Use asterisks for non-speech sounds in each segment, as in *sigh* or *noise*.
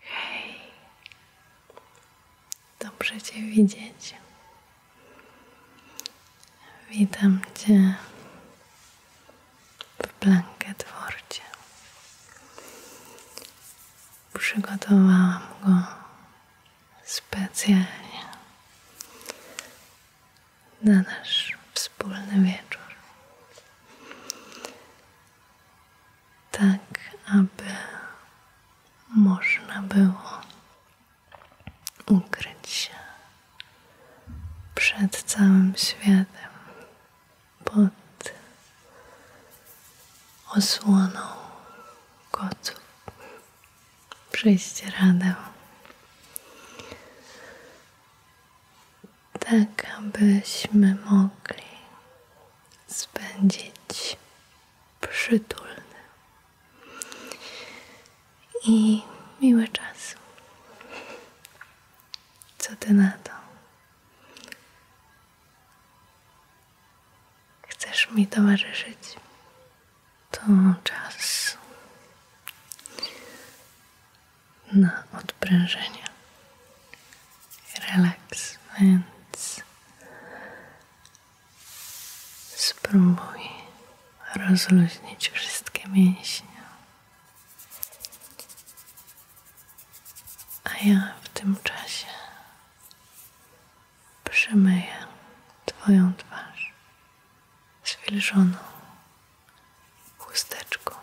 Hej, dobrze Cię widzieć. Witam Cię w Blanket Przygotowałam go specjalnie na nasz wspólny wieczór tak aby można było ukryć się przed całym światem pod osłoną kotów, prześcieradeł tak abyśmy mogli spędzić przytulny i miłe czas. Co ty na to? Chcesz mi towarzyszyć? To czas na odprężenie. relax, więc spróbuj rozluźnić wszystkie mięśnie. A ja w tym czasie przemyję Twoją twarz z wilżoną chusteczką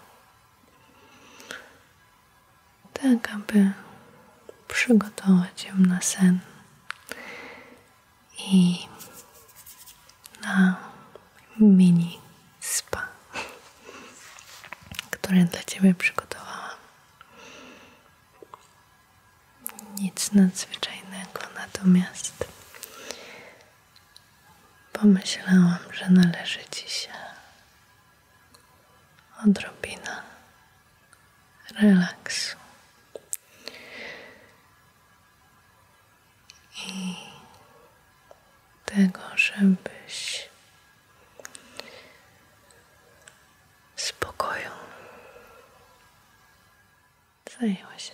tak aby przygotować ją na sen i na mini spa, które dla Ciebie przygotowałam. Nic nadzwyczajnego, natomiast pomyślałam, że należy Ci się odrobina relaksu. I tego, żebyś spokoju zajęła się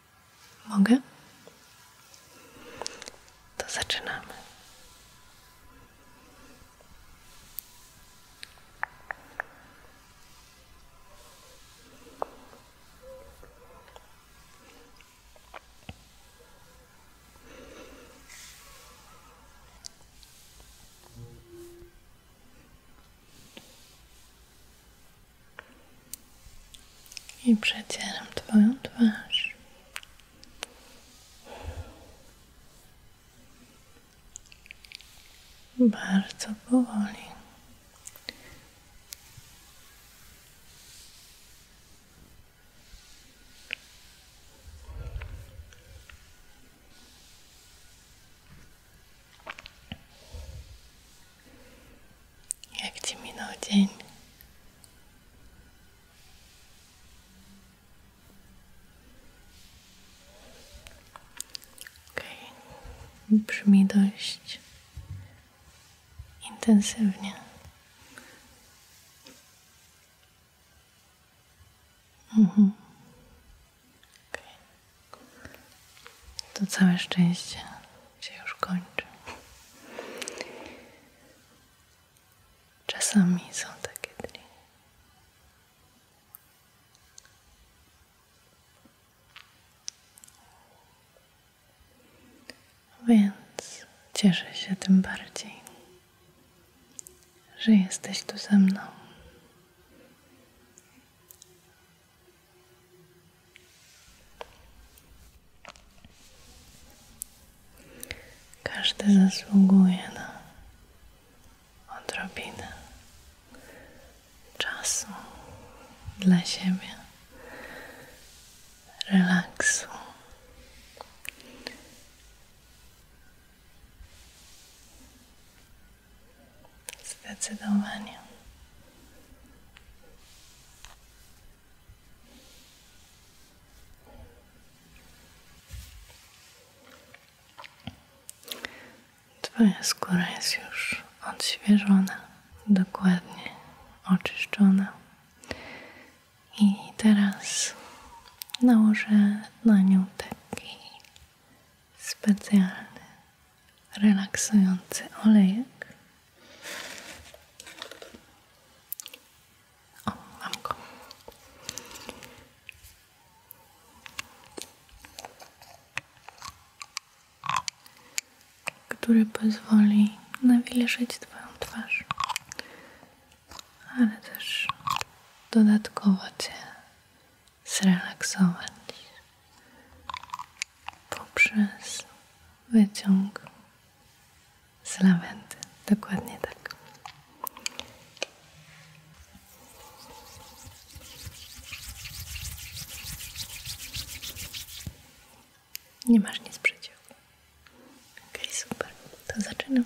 Mogę? To zaczynamy i przecieram Twoją twarz. Bardzo powoli. Jak Ci minął dzień? Okej, intensywnie. Mhm. To całe szczęście się już kończy. Czasami są takie dni. Więc cieszę się tym bardziej, że jesteś tu ze mną. Każdy zasługuje na odrobinę czasu dla siebie, relaksu. Zdecydowanie. Twoja skóra jest już odświeżona, dokładnie oczyszczona. I teraz nałożę na nią taki specjalny, relaksujący olejek które mam go. Który pozwoli nawilżyć Twoją twarz, ale też dodatkowo Cię zrelaksować poprzez wyciąg z lawendy. Dokładnie tak. Nie masz nic przeciw. Okej, super. To zaczynam.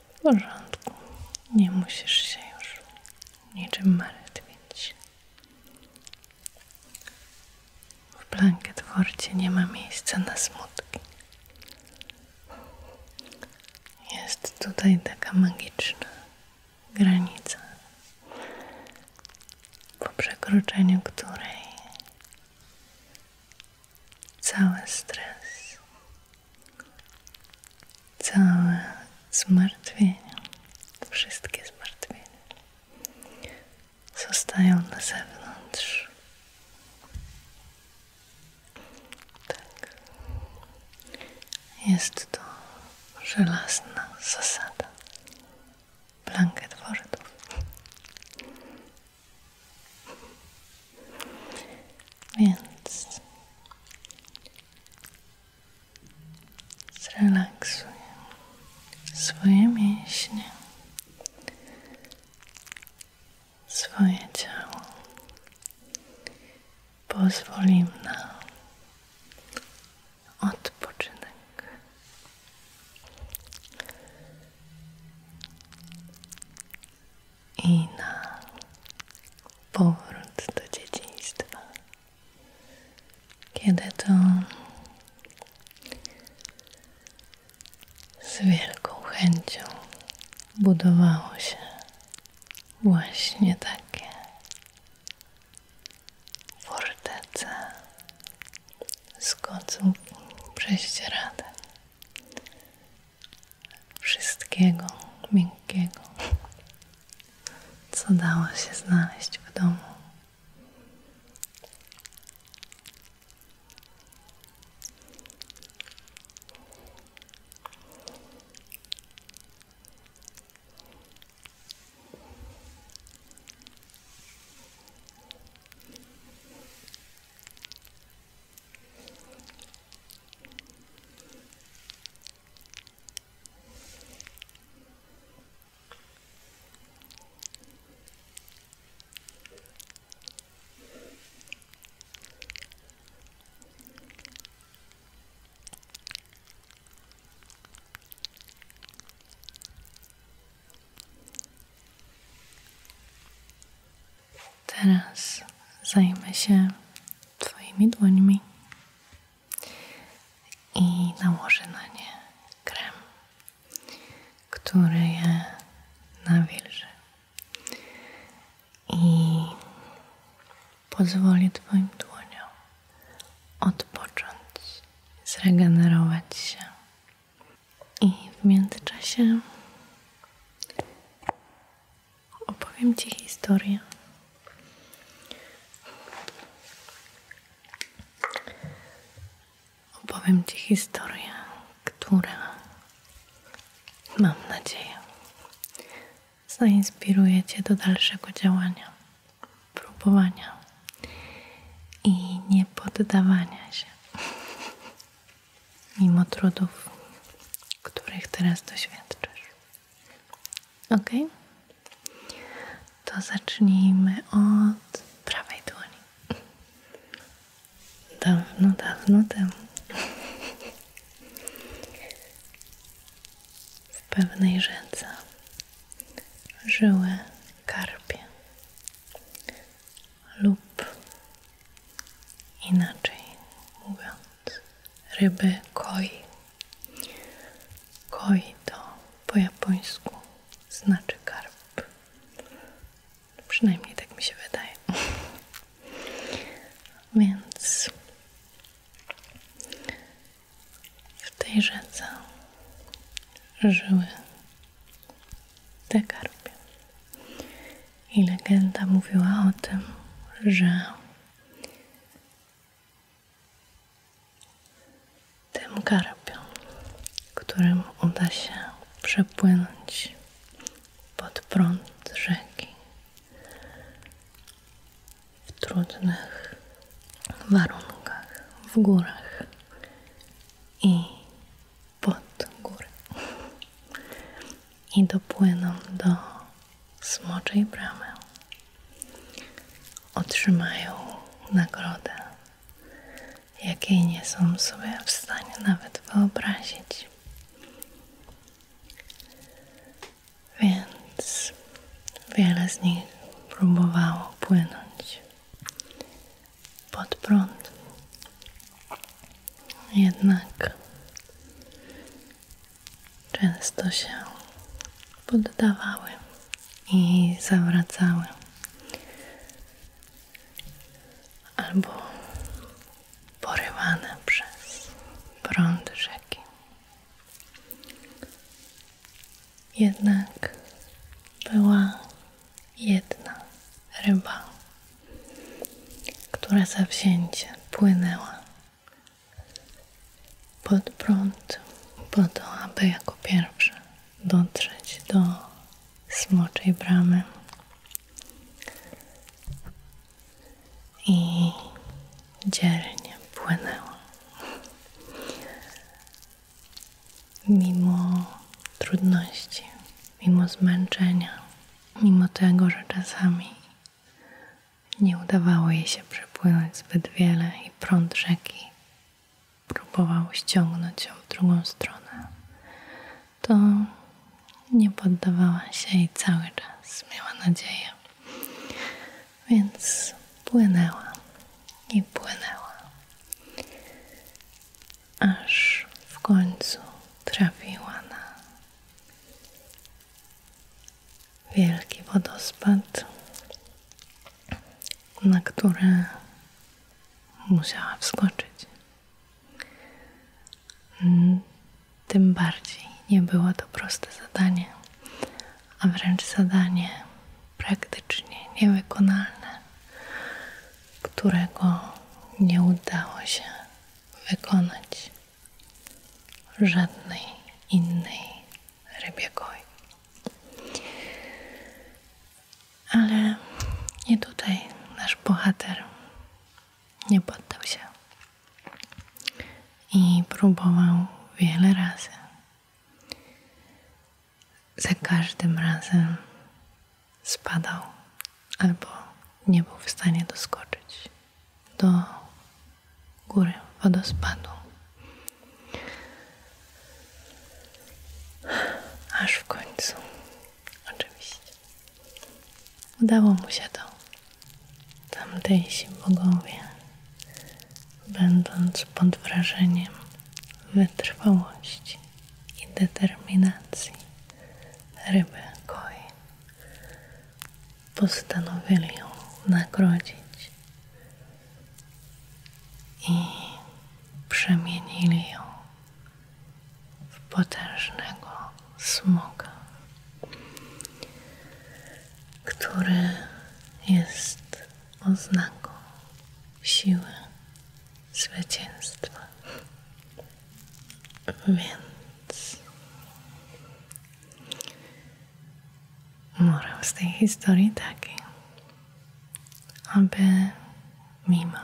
W porządku, nie musisz się już niczym martwić. W blanket worcie nie ma miejsca na smutki. Jest tutaj taka magiczna granica, po przekroczeniu której cały stres całe zmartwienia, wszystkie zmartwienia zostają na zewnątrz. Tak. Jest to żelazna zasada. Blanket Wordów. Więc Zrelaksuj swoje mięśnie, swoje ciało. Pozwól im na odpoczynek i na powrót do dzieciństwa, kiedy to z wielką chęcią budowało się właśnie takie fortece z koców prześcieradeł wszystkiego miękkiego, co dało się znaleźć w domu. Teraz zajmę się Twoimi dłońmi i nałożę na nie krem, który je nawilży i pozwoli Twoim dłoniom odpocząć, zregenerować się. I w międzyczasie opowiem Ci historię. Opowiem Ci historię, która mam nadzieję zainspiruje Cię do dalszego działania, próbowania i niepoddawania się mimo trudów, których teraz doświadczasz. Ok? To zacznijmy od prawej dłoni. Dawno, dawno temu. W pewnej rzece żyły karpie lub inaczej mówią ryby koi. Koi to po japońsku znaczy karb, no, Przynajmniej tak mi się wydaje. *laughs* Więc w tej rzece żyły te karpie. I legenda mówiła o tym, że tym garbiom, którym uda się przepłynąć pod prąd rzeki w trudnych warunkach, w górach i pod górę i dopłyną do smoczej bramy. Otrzymają nagrodę, jakiej nie są sobie w stanie nawet wyobrazić. Więc wiele z nich próbowało płynąć pod prąd. Jednak często się poddawały i zawracały, albo porywane przez prąd rzeki. Jednak była jedna ryba, która zawzięcie płynęła pod prąd, po to, aby jako pierwszy dotrzeć do smoczej bramy i dzielnie płynęło, Mimo trudności, mimo zmęczenia, mimo tego, że czasami nie udawało jej się przepłynąć zbyt wiele i prąd rzeki próbował ściągnąć ją w drugą stronę. To nie poddawała się i cały czas miała nadzieję. Więc płynęła i płynęła, aż w końcu trafiła na wielki wodospad, na które musiała wskoczyć. Mm, tym bardziej nie było to proste zadanie, a wręcz zadanie praktycznie niewykonalne, którego nie udało się wykonać żadnej innej rybie goi. Ale nie tutaj nasz bohater nie poddał się i próbował wiele razy. Za każdym razem spadał albo nie był w stanie doskoczyć do góry wodospadu. Aż w końcu, oczywiście, udało mu się to. Tamtejsi bogowie, będąc pod wrażeniem wytrwałości i determinacji ryby koi, postanowili ją nagrodzić i przemienili ją w potężnego smoka, który jest oznaką siły zwycięstwa. Więc Morał z tej historii taki, aby mimo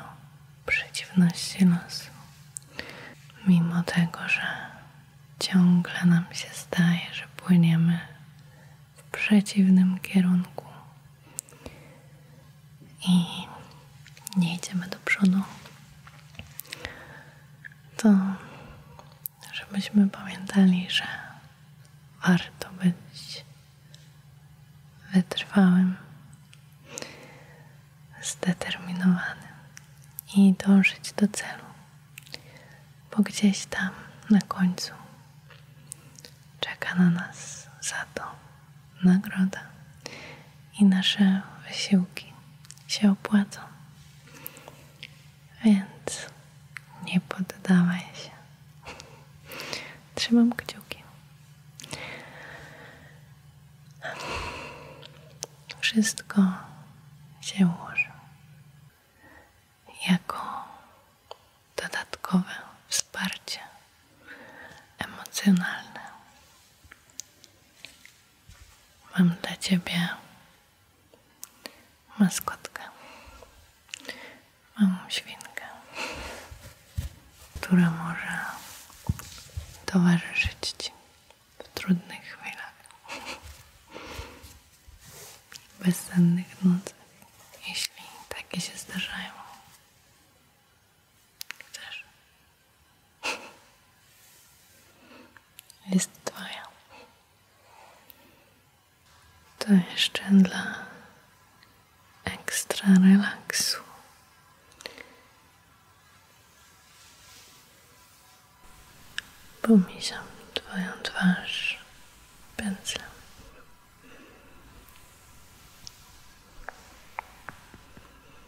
przeciwności losu, mimo tego, że ciągle nam się staje, że płyniemy w przeciwnym kierunku i nie idziemy do przodu, to żebyśmy pamiętali, że warto być wytrwałym, zdeterminowanym i dążyć do celu, bo gdzieś tam na końcu czeka na nas za to nagroda i nasze wysiłki się opłacą. Więc nie poddawaj się. Trzymam kciuki. Wszystko się ułoży jako dodatkowe wsparcie emocjonalne. Mam dla Ciebie maskotkę, małą świnkę, która może towarzyszyć Ci w trudnych chwilach, bezsennych nocy, jeśli takie się zdarzają. Chcesz? Jest twoja. To jeszcze dla ekstra relaksu. Pomijam twoją twarz pędzlem.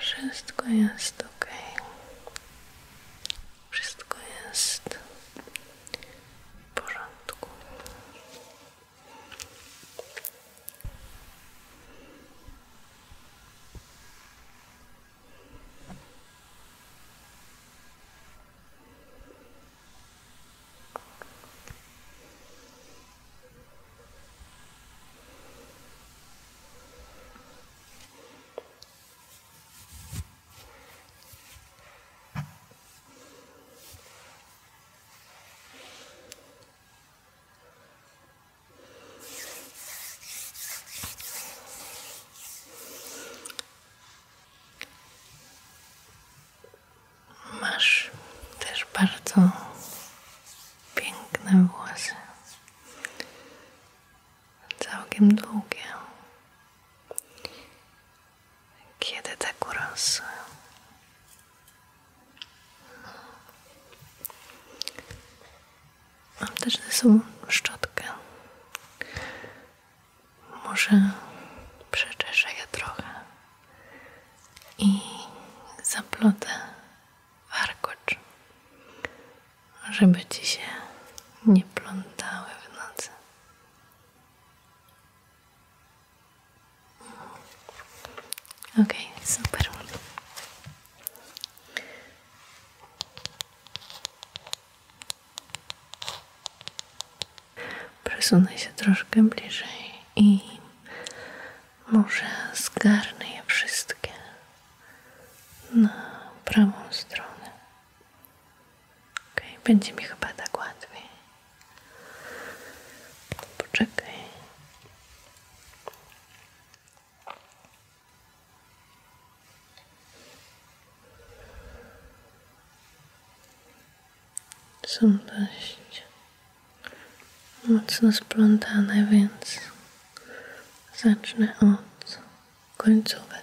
Wszystko jest ok. Wszystko jest w porządku. Masz też bardzo piękne włosy, całkiem długie. Kiedy tak urosły? Mam też ze sobą szczotkę. Może przeczeszę je trochę i zaplotę warkocz, żeby ci się nie plątały w nocy. Ok, okay, super. Przesunę się troszkę bliżej i może zgarnę je wszystkie na prawą stronę. Ok, będzie mi chyba tak łatwiej. Poczekaj. Są dość mocno splątane, więc zacznę od końcówek.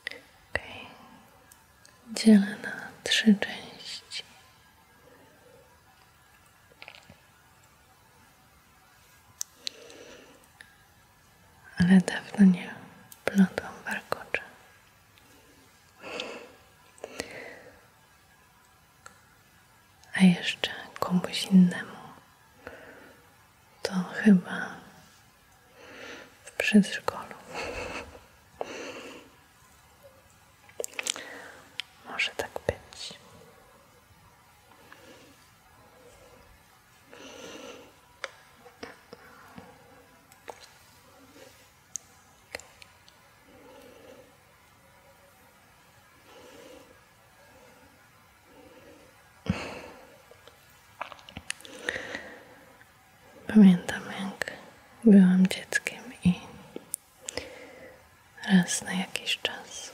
Ok, dzielę na trzy części. Ale dawno nie plotłam a jeszcze komuś innemu, to chyba w przedszkolu. *laughs* Może tak być. Pamiętam, jak byłam dzieckiem i raz na jakiś czas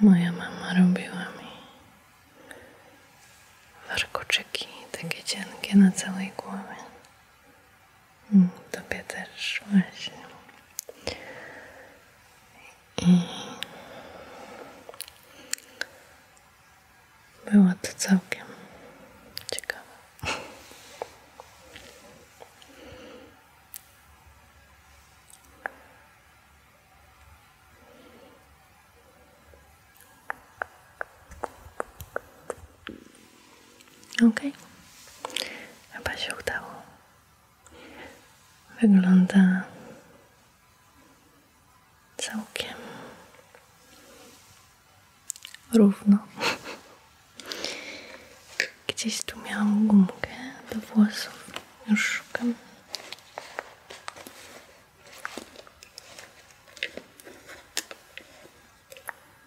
moja mama robiła mi warkoczyki takie cienkie na całej głowie. Mm, tobie też właśnie. było to całkiem ciekawe. Ok, chyba się udało. Wygląda całkiem równo. Gdzieś tu miałam gumkę do włosów. Już szukam.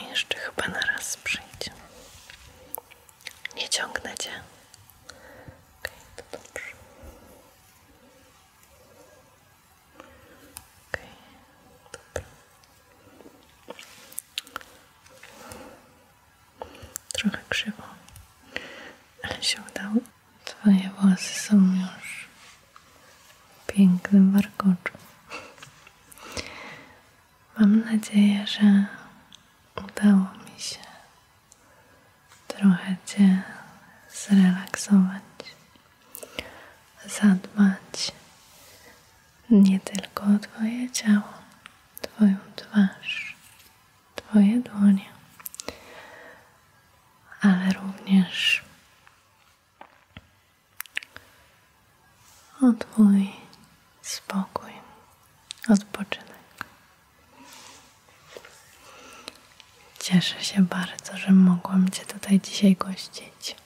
A jeszcze chyba na raz przyjdzie. Nie ciągnę cię. Okej, to dobrze. Okej, Trochę krzywo, ale się udało. Twoje włosy są już w pięknym warkoczu. Mam nadzieję, że udało mi się trochę Cię zrelaksować, zadbać nie tylko o Twoje ciało, Twoją twarz, Twoje dłonie, ale również o spokój, odpoczynek. Cieszę się bardzo, że mogłam Cię tutaj dzisiaj gościć.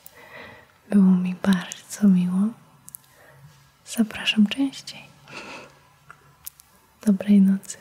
Było mi bardzo miło. Zapraszam częściej. Dobrej nocy.